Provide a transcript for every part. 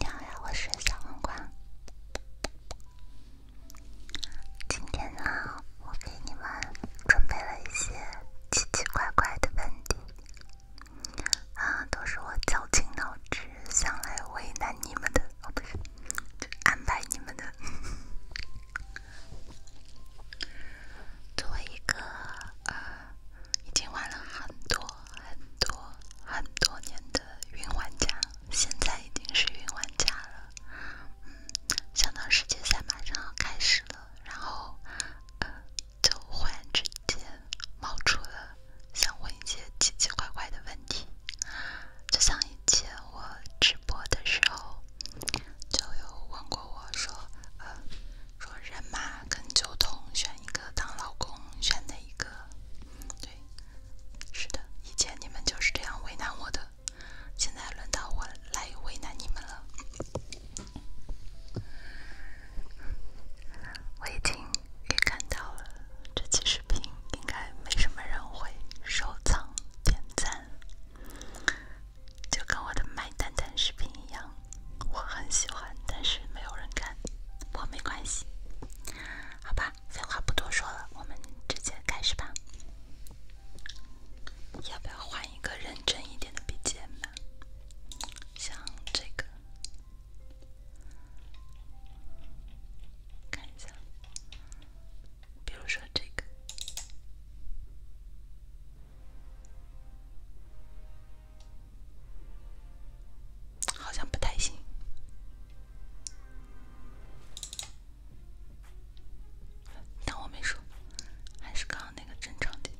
你好呀，我是小黄瓜。今天呢，我给你们准备了一些奇奇怪怪的问题，啊，都是我绞尽脑汁想来为难你们的，哦不是，安排你们的，做一个。已经玩了很多很多很多年的云玩家，现在已经是云玩家了。嗯，想到世界赛马上要开始了，然后呃，就忽然之间冒出了想问一些奇奇怪怪的问题，就像以前我直播的时候就有问过我说，呃。说人马跟酒桶选一个当老公，选哪一个？对，是的，以前你们就是这样为难我的，现在轮到我来为难你们了。我已经预感到了，这期视频应该没什么人会收藏、点赞，就跟我的麦丹丹视频一样。我很喜欢，但是没有人看，不过没关系。好吧，废话不多说了，我们直接开始吧。要不要换一个认真一点的笔记本？像这个，看一下，比如说这个。好像不太行，当我没说，还是刚刚那个正常点。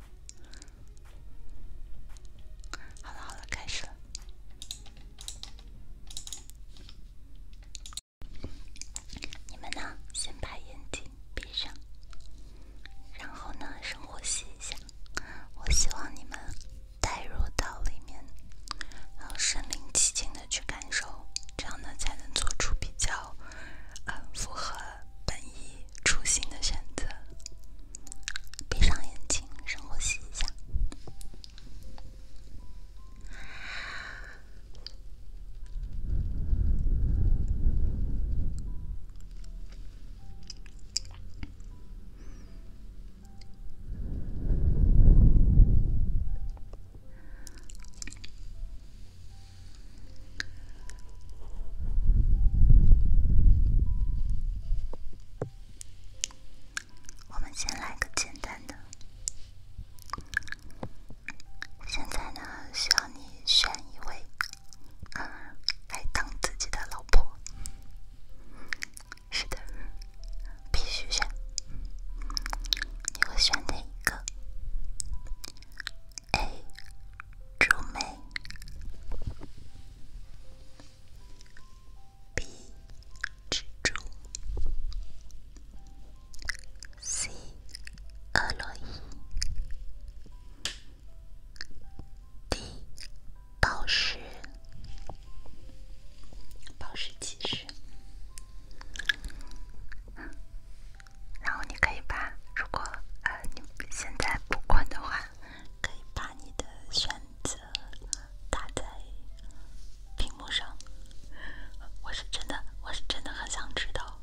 好了好了，开始了。你们呢？先把眼睛闭上，然后呢，深呼吸一下。我希望你们代入到里面，然后身临其境的去感受，这样呢才能做出比较呃符合本意初心的选择。闭上眼睛，深呼吸一下。我们先来个简单的。现在呢，需要你选一位。嗯，来当自己的老婆。是的，必须选。你会选哪一个？A. 珠妹。B. 蜘蛛。C. 乐乐伊。第宝石，宝石骑士。然后你可以把，如果呃你现在不困的话，可以把你的选择打在屏幕上。我是真的，我是真的很想知道。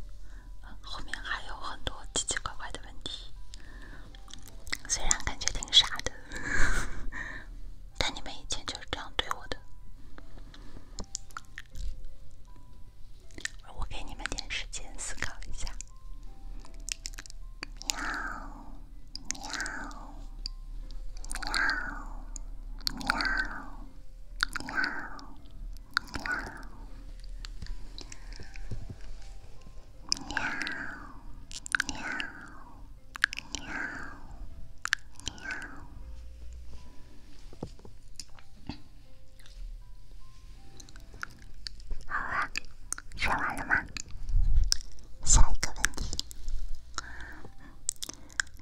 后面还有很多奇奇怪怪的问题，虽然感觉挺傻的，但你们以前就是这样对我的。我给你们点时间思考一下。喵喵喵喵喵喵。喵喵喵喵！好啊，说完了吗？下一个问题，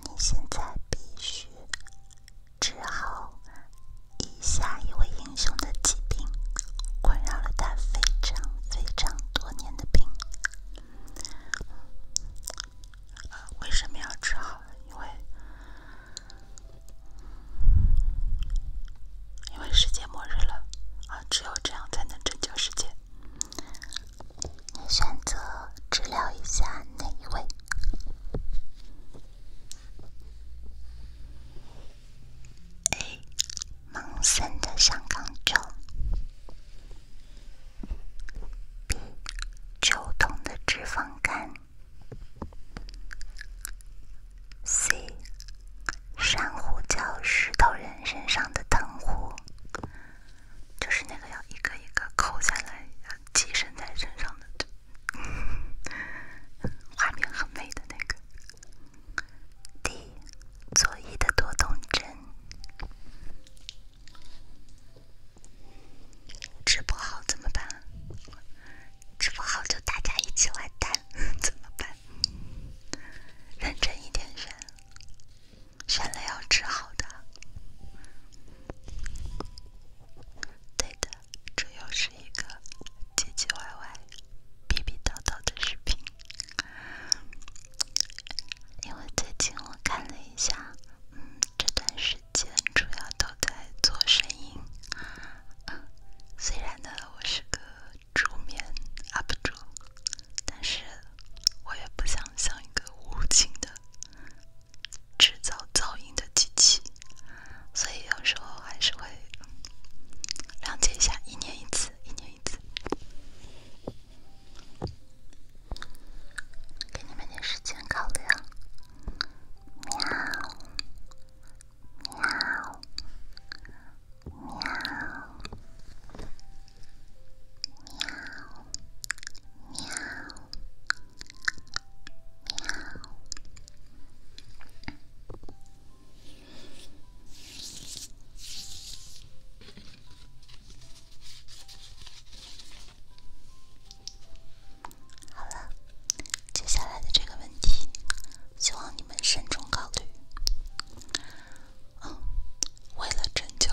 你现在必须治好。以下一位英雄的疾病困扰了他非常非常多年的病，为什么要治好？因为因为世界末日了，啊，只有这样才能拯救世界。你选择治疗一下哪一位？A. 盲僧的香港咒。B. 酒桶的脂肪肝。C. 珊瑚礁石头人身上的藤壶，就是那个要一个一个扣下来寄生在身上的，画面很美的那个。d，佐伊的多动症治不好怎么办？治不好就大家一起完蛋 怎么办？认真一点选，选了要治好的，对的。这又是一个唧唧歪歪、逼逼叨叨的视频。因为最近我看了一下，嗯，这段时间主要都在做声音。虽然呢，我是个助眠 UP 主，但是我也不想像一个无情的制造噪音的机器。所以有时候还是会谅解一下，一年一次，一年一次，给你们点时间考虑啊！喵，喵，喵，喵，喵，喵。好了，接下来的这个问题，希望你们慎重考虑。嗯，为了拯救，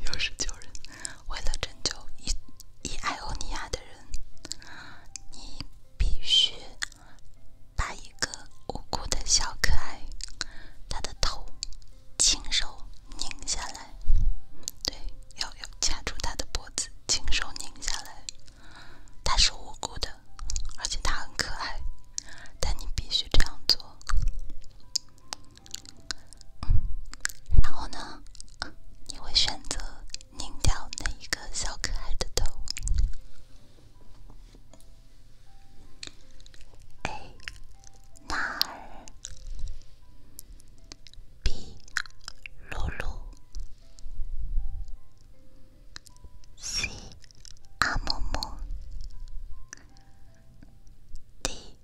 又是救人，为了拯救一以艾欧尼亚的人，你必须。把一个无辜的小可爱，他的头，亲手拧下来。对，要要掐住他的脖子，亲手拧下来。他是无辜的，而且他很可爱，但你必须这样做。然后呢，你会选择？拧掉那一个小可爱的头。A、娜尔，B、露露，C、阿木木，D、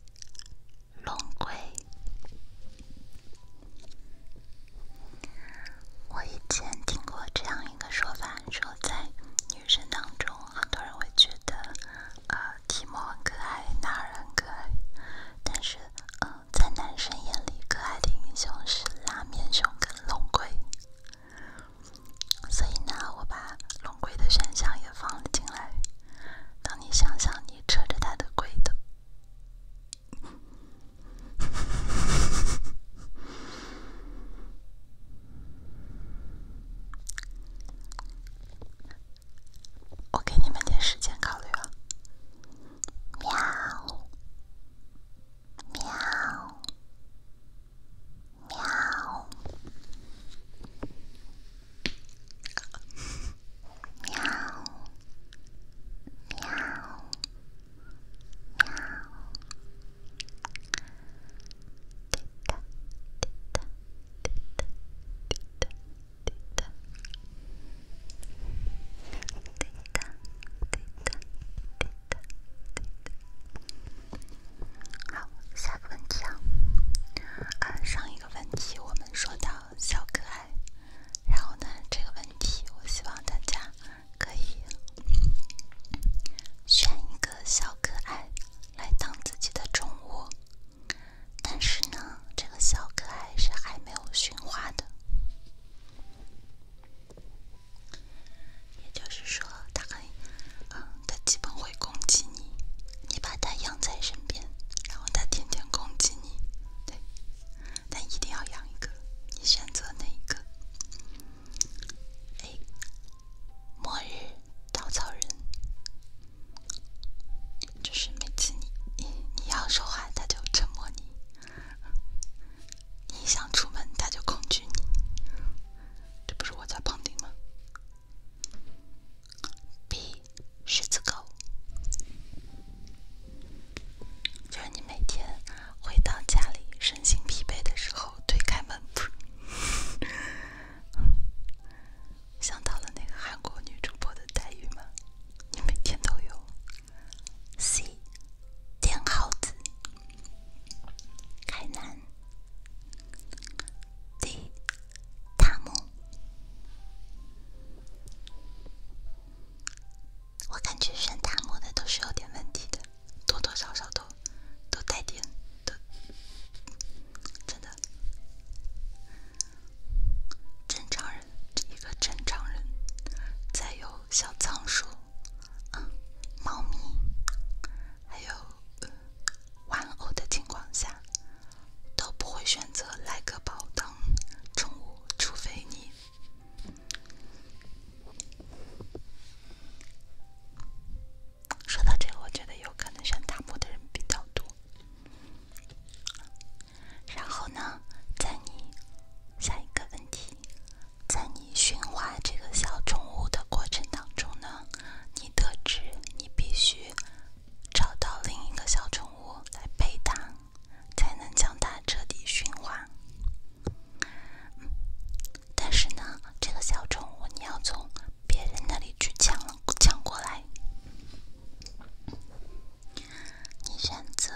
龙龟。我以前听过这样一个说法，说在女生当中，很多人会觉得，呃，提莫很可爱，男人很可爱，但是，嗯，在男生眼里，可爱的英雄是拉面熊跟龙龟。所以呢，我把龙龟的选项也放了进来。当你想想，你扯着他的龟的。我给你们点时间考虑啊！喵！喵！喵！喵！好，下个问题啊，上一个问题我们说到小可爱，然后呢，这个问题我希望大家。可以选一个小可爱来当自己的宠物，但是呢，这个小可爱是还没有驯化的，也就是说，它可以，它基本会攻击你。你把它养在身边，然后它天天攻击你，对。但一定要养一个，你选择哪一个？A，末日稻草人，就是每次你你你要说话，他就沉默你；你想出门，他就恐惧你。这不是我在旁听吗？B，狮子狗。就是你每天回到家里身心疲惫的时候，推开门，噗，想到了那个韩国女主播的待遇吗？你每天都有。C. 电耗子，海南，D. 塔木。我感觉选大摩的都是有点问题的，多多少少都都带点都真的。正常人一个正常人，在有小仓鼠、啊猫咪，还有玩偶的情况下，都不会选择来个宝当宠物，除非你。说到这个，我觉得有可能选塔木的人比较多。然后呢，在你下一个问题，在你驯化这个小宠物的过程当中呢，你得知你必须找到另一个小宠物来陪它。才能将它彻底驯化。但是呢，这个小宠物你要从别人那里去抢抢过来。你选择，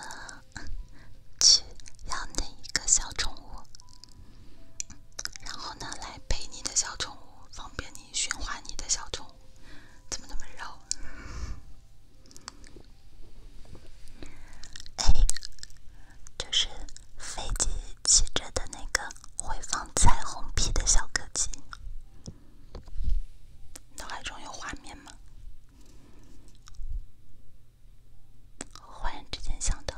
去要哪一个小宠物？然后呢，来陪你的小宠物，方便你驯化你的小宠物。怎么那么绕？哎，就是飞机骑着的那个会放彩虹屁的小科技，脑海中有画面吗？忽然之间想到，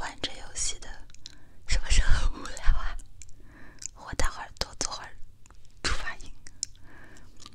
玩这游戏的，是不是很无聊啊？我待会儿多做会儿触发音。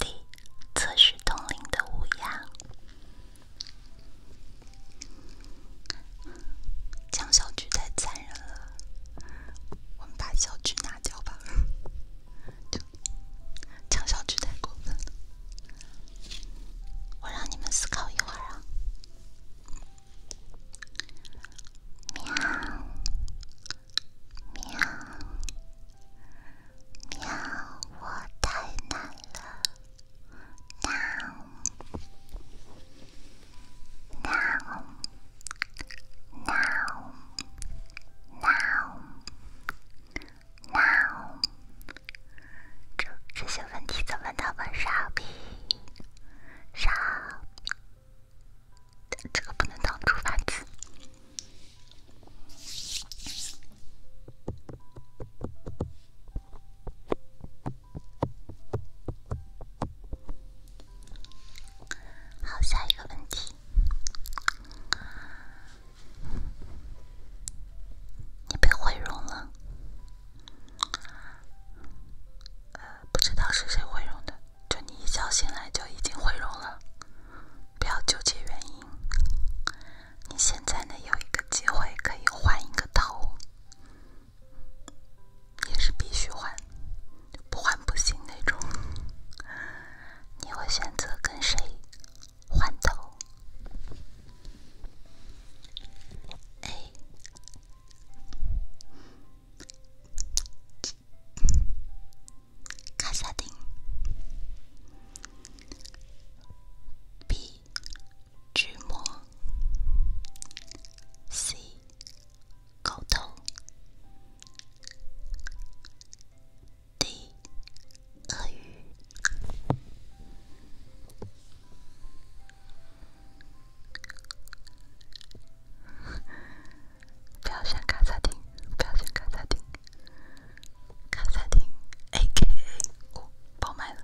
D 测试通灵的乌鸦，抢小菊太残忍了，我们把小菊拿掉吧。就抢小菊太过分，我让你们思考一会儿啊。喵喵。喵，我太难了，难，难，难，难，难。这这些问题怎么那么傻逼？傻，这个不能当主反词。好，下一个问题，你被毁容了，呃，不知道是谁毁容的，就你一觉醒来就已经毁容了。不要纠结原因。你现在呢有一个机会可以换一个头，也是必须换，不换不行那种。你会选择跟谁换头？哎。卡萨丁。B. 巨魔。C. 狗头。D. 鳄鱼。不要选卡萨丁，不要选卡萨丁。卡萨丁，A.K.A. 我包买了。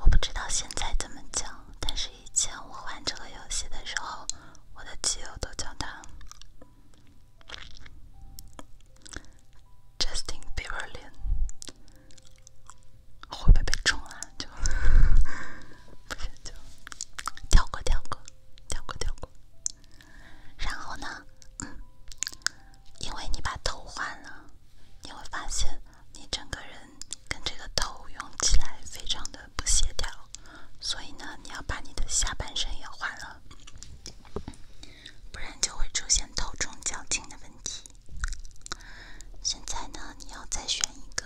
我不知道现在怎么讲。但是以前我玩这个游戏的时候，我的基友都叫他 Justin Bieberian。会不会被冲啊？就，不行就跳过，跳过，跳过，跳过。然后呢，嗯，因为你把头换了，你会发现你整个人跟这个头用起来非常的不协调，所以呢，你要把你的下半身也换了，不然就会出现头重脚轻的问题。现在呢，你要再选一个，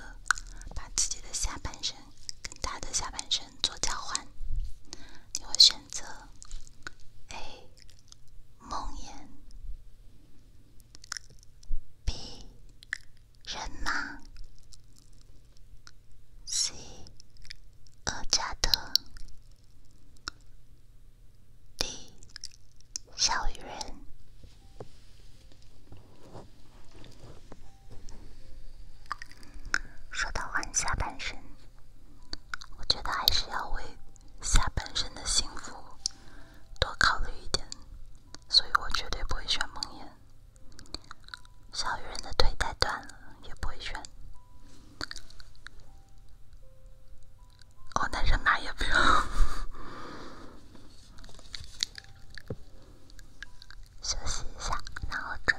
把自己的下半身跟他的下半身。做交换，你会选择 A 梦魇，B 人马 c 厄加德 d 小鱼人。说到换下半身，我觉得还是要为下半身的幸福多考虑一点，所以我绝对不会选梦魇，小鱼人的腿太短了，也不会选。哦，那人马也不用。休息一下，然后转。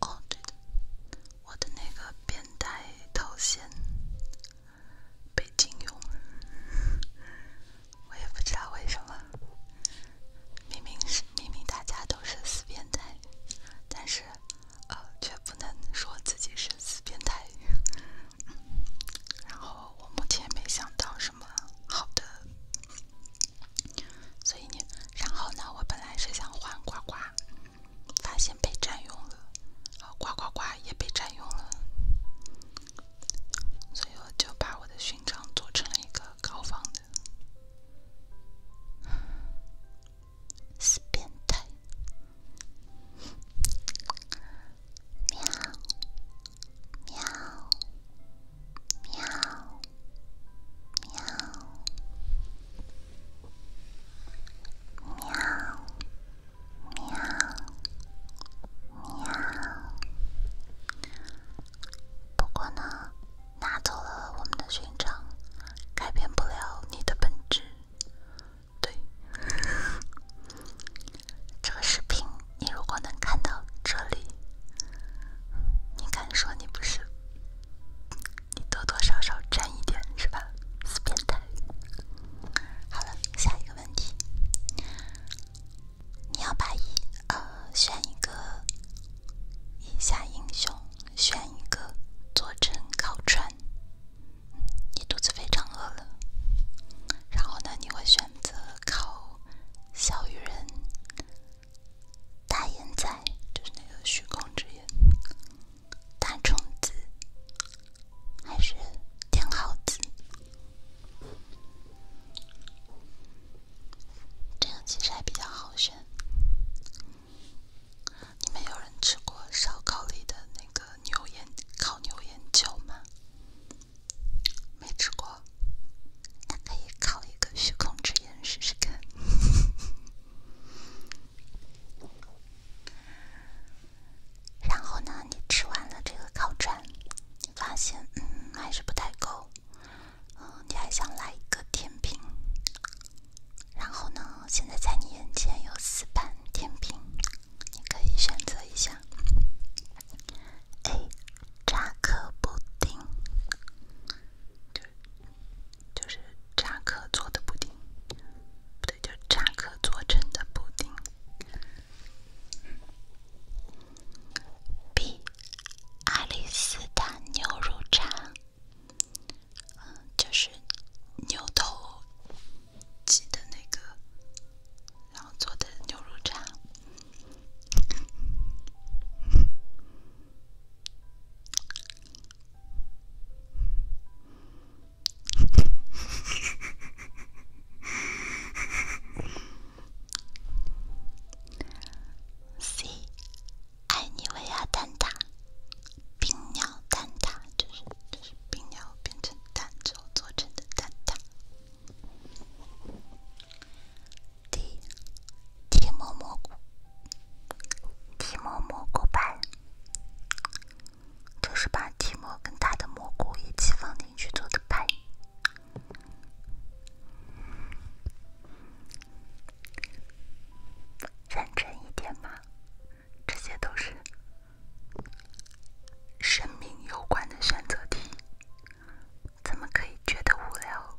哦，对的，我的那个变态头衔被禁用了，我也不知道为什么，明明是明明大家都是死变态，但是呃却不能说自己是死变态。然后我目前没想到什么好的。所以呢，然后呢，我本来是想换呱呱，发现被占用了，哦，呱呱呱也被占用了，所以我就把我的勋章做成了一个高仿的，死变态，喵，喵，喵。喵，喵，喵，喵。不过呢，拿走了我们的勋章，改变不了你的本质。对，这个视频，你如果能看到这里，你敢说你不是？你多多少少沾一点是吧？死变态！好了，下一个问题，你要把一呃选一个以下英雄，选一个佐证高传。你肚子非常饿了，然后呢，你会选择靠小鱼人。大眼仔就是那个虚空之眼，大虫子还是天耗子，这样其实还比较好选。你们有人吃过烧烤里的那个牛眼烤牛眼球吗？没吃过，那可以烤一个虚空之试试看。然后呢，你吃完了这个烤串，发现嗯还是不太够，嗯你还想来一个甜品。然后呢，现在在你眼前有四盘甜品，你可以选择一下。A 扎克布丁。就是扎克做的布丁，不对，就是扎克做成的布丁。比，阿里斯塔牛肉肠，嗯，就是牛头，鸡的那个，然后做的牛肉肠。C，爱你味啊蛋挞，冰鸟蛋挞就是就是冰鸟变成蛋之后做成的蛋挞。第一，提莫蘑菇，提莫蘑菇牌，就是把提莫跟他的蘑菇一起放进去做的牌。认真一点嘛，这些都是生命有关的选择题，怎么可以觉得无聊？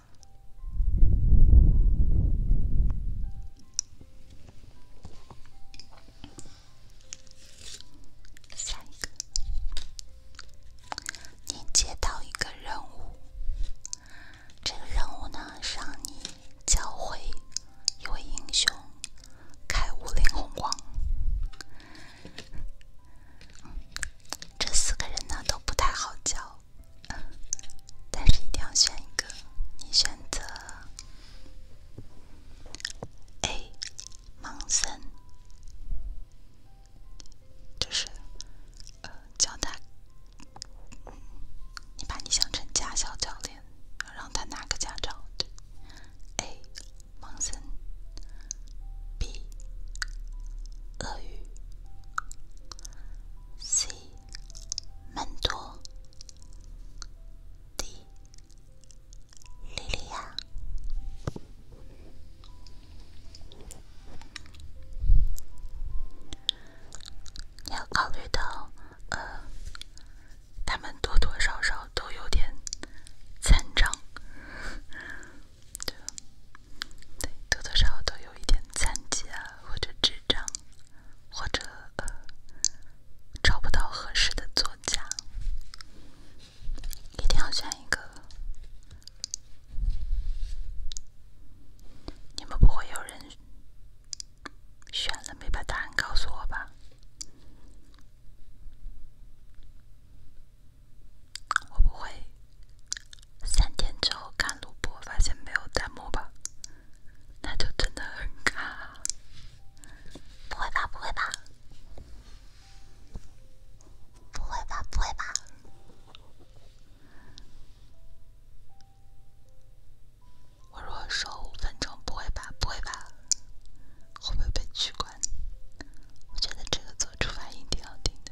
下一个，你接到一个任务，这个任务呢，让你教会一位英雄开五菱宏光。这四个人呢，都不太好教。嗯，但是一定要选一个。你选择 A，盲僧就是呃，教他，你把你想成驾校教练，让他拿个驾照。A，盲僧 b 鳄鱼。西门多，迪莉娅，要考虑到，呃，他们多多少少都有点残障。对，多多少少都有一点残疾啊，或者智障，或者呃，找不到合适的作家，一定要选一个。你们不会有人选了没把答案告诉我吧？我不会三天之后看录播发现没有弹幕吧？那就真的很卡。不会吧？不会吧？不会吧？不会吧？我如果说五分钟，不会吧？不会吧？会不会被取关？我觉得这个做出反应要定的。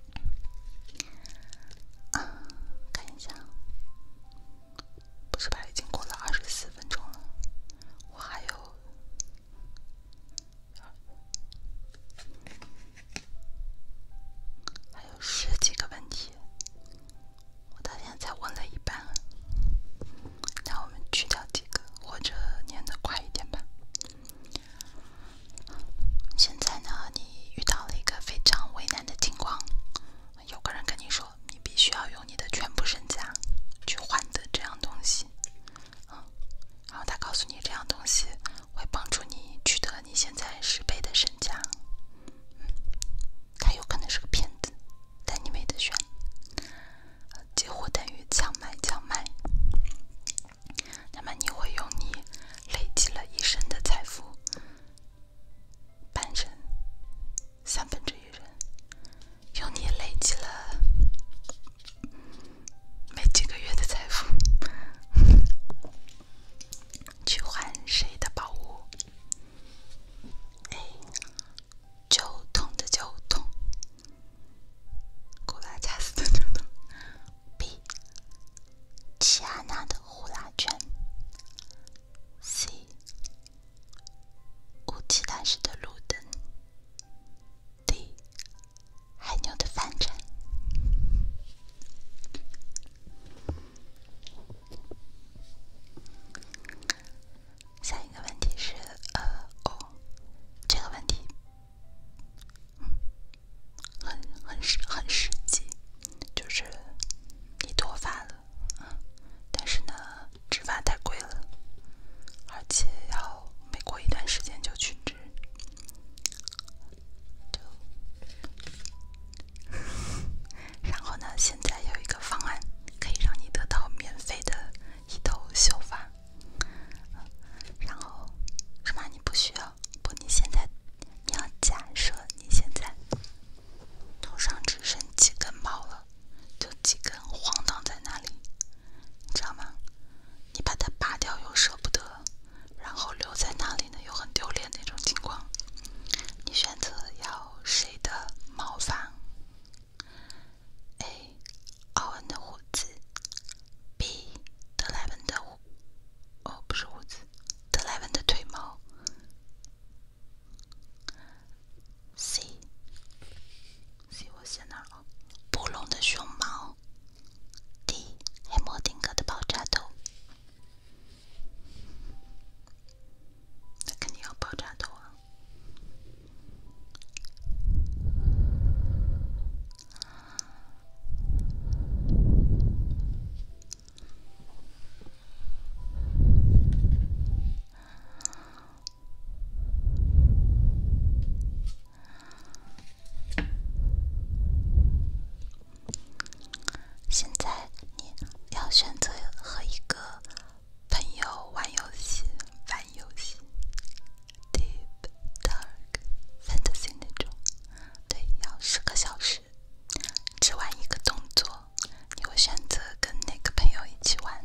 啊，看一下，不是吧？已经过了二十四分钟了，我还有还有十几个问题，我到现在才问了一半。那我们去掉几个，或者念的快一点吧。现在呢，你遇到了一个非常为难的情况，有个人跟你说，你必须要用你的全部身家去换得这样东西，啊，然后他告诉你这样东西会帮助你取得你现在十倍的身家，他有可能是个骗子，但你没得选，劫火等于强买强卖。那么你会用你累积了一生的财富，半生，三分之一人，用你累积了没几个月的财富去换谁的宝物？哎，就痛的就痛，古拉加斯的就痛。B，齐安娜的呼啦圈。C，雾气弹时的路灯。D，海牛的帆船。下一个问题是，呃，哦，这个问题。嗯，很很实很实际，就是你脱发了，但是呢，植发太贵了，而且要每过一段时间就去植，就，然后呢，现在有一个方案可以让你得到免费的一头秀发，然后什么？你不需要。不，你现在，你要假设你现在头上只剩几根毛了，就几根晃荡在那里，你知道吗？你把它拔掉又舍不得，然后留在那里呢又很丢脸那种情况，你选择要谁的毛发？A，奥恩的胡子；B，德莱文的胡哦，不是胡子，德莱文的腿毛。C，C 我写哪了？布隆的胸毛。D，黑默丁格的爆炸头。他肯定要爆炸头啊！现在你要选择和一个朋友玩游戏，玩游戏，Deep Dark Fantasy 那种。对，要十个小时，只玩一个动作，你会选择跟哪个朋友一起玩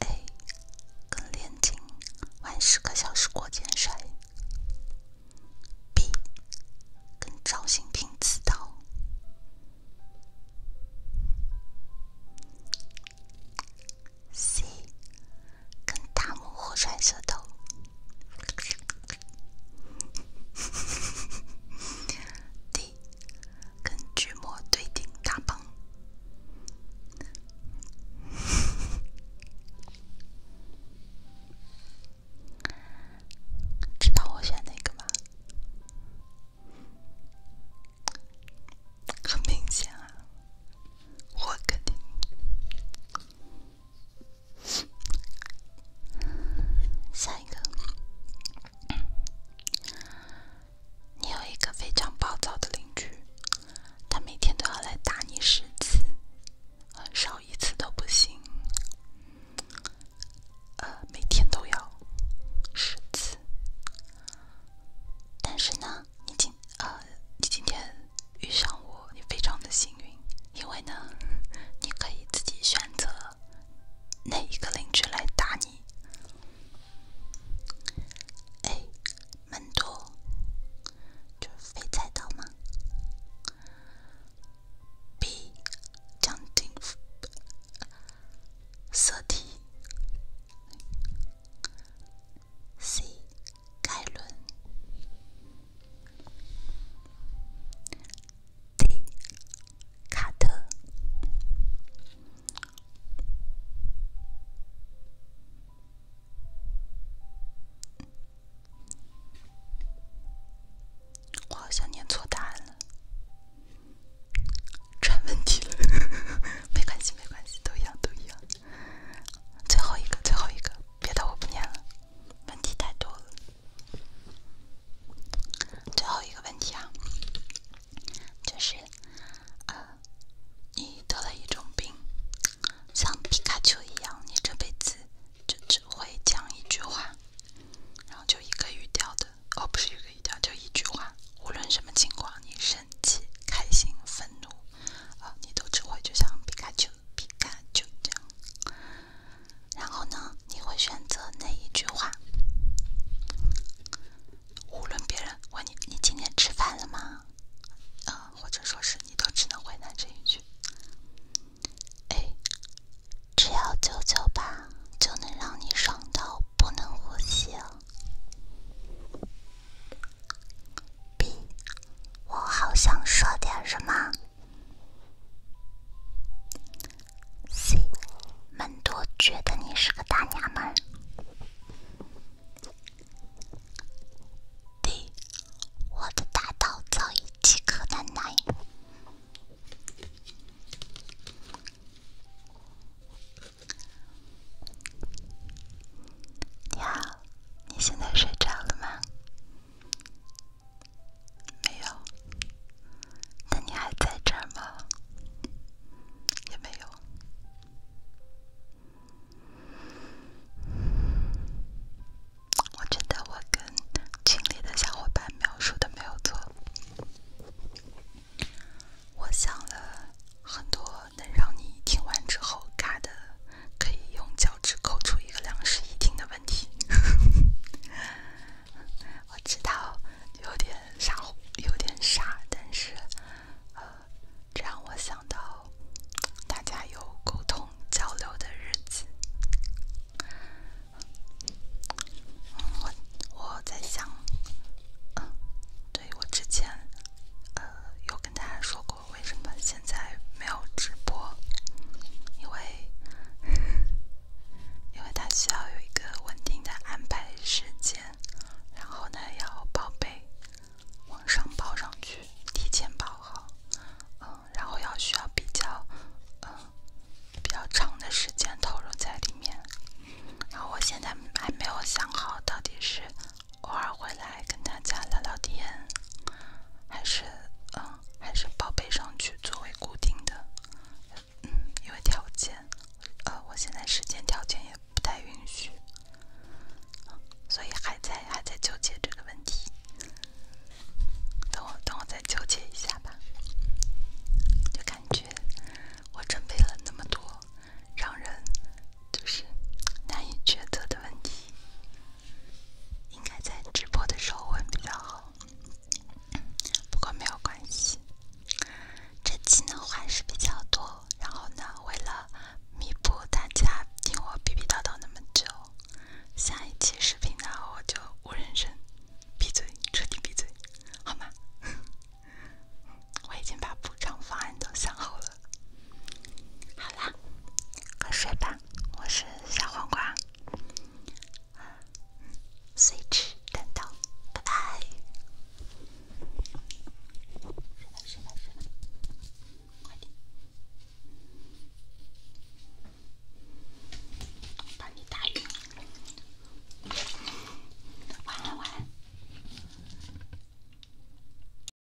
？A，跟练金玩十个小时过肩摔。B，跟赵新平刺刀。C。跟大漠互甩舌头，D 跟巨魔对顶大棒，知道我选哪个吗？很明显啊，我肯定。下一个，你有一个非常暴躁的邻居，他每天都要来打你十次，少一次都不行。呃，每天都要十次，但是呢。你今呃，你今天遇上我，你非常的幸运，因为呢，你可以自己选择哪一个邻居来打你。A. 门多，就是飞菜刀吗？B. 将军，色体。C. 盖伦。D. 卡特。我好像念错答案了，出问题了。没关系，没关系，都一样，都一样。最后一个，最后一个。别的我不念了，问题太多了。最后一个问题啊，就是，呃，你得了一种病，像皮卡丘一样，你这辈子就只会讲一句话，然后就一个语调的，哦，不是一个语调，就一句话，无论什么情况，你生气、开心、愤怒，啊，你都只会就像皮卡丘。皮卡丘丘，然后呢？你会选择哪一句话？无论别人问你“你今天吃饭了吗？”啊，或者说是你都只能回答这一句：“哎，只要九九八，就能让你爽到不能呼吸。” B，我好想说点什么。C，门多觉得你是个大娘们。D，我的大刀早已饥渴难耐。你现在睡着了吗？没有。那你还在这吗？也没有。我觉得我跟群里的小伙伴描述的没有错。我想了很多。能让你听完之后，嘎的可以用脚趾抠出一个两室一厅的问题。我知道有点傻，有点傻，但是呃，这让我想到大家有沟通交流的日子。我我在想，嗯，对我之前呃有跟大家说过。为什么现在没有直播？因为，因为它需要有一个稳定的安排时间，然后呢要报备，往上报上去，提前报好，嗯，然后要需要比较，嗯，比较长的时间投入在里面，然后我现在还没有想好到底是。偶尔回来跟大家聊聊天，还是嗯，还是报备上去作为固定的，嗯，因为条件，呃，我现在时间条件也不太允许，所以还在还在纠结这个问题。等我等我再纠结一下吧，就感觉我准备了那么多，让人。就是难以抉择的问题，应该在直播的时候问比较好。不过没有关系，这期呢话还是比较多。然后呢，为了弥补大家听我逼逼叨叨那么久，下一期视频呢我就无人声，闭嘴，彻底闭嘴，好吗？我已经把补偿方案都想好了。好啦，快睡吧，我是小黄瓜，随时等到，拜拜。睡吧，睡吧，睡吧，快点，把你打晕。晚安，晚安。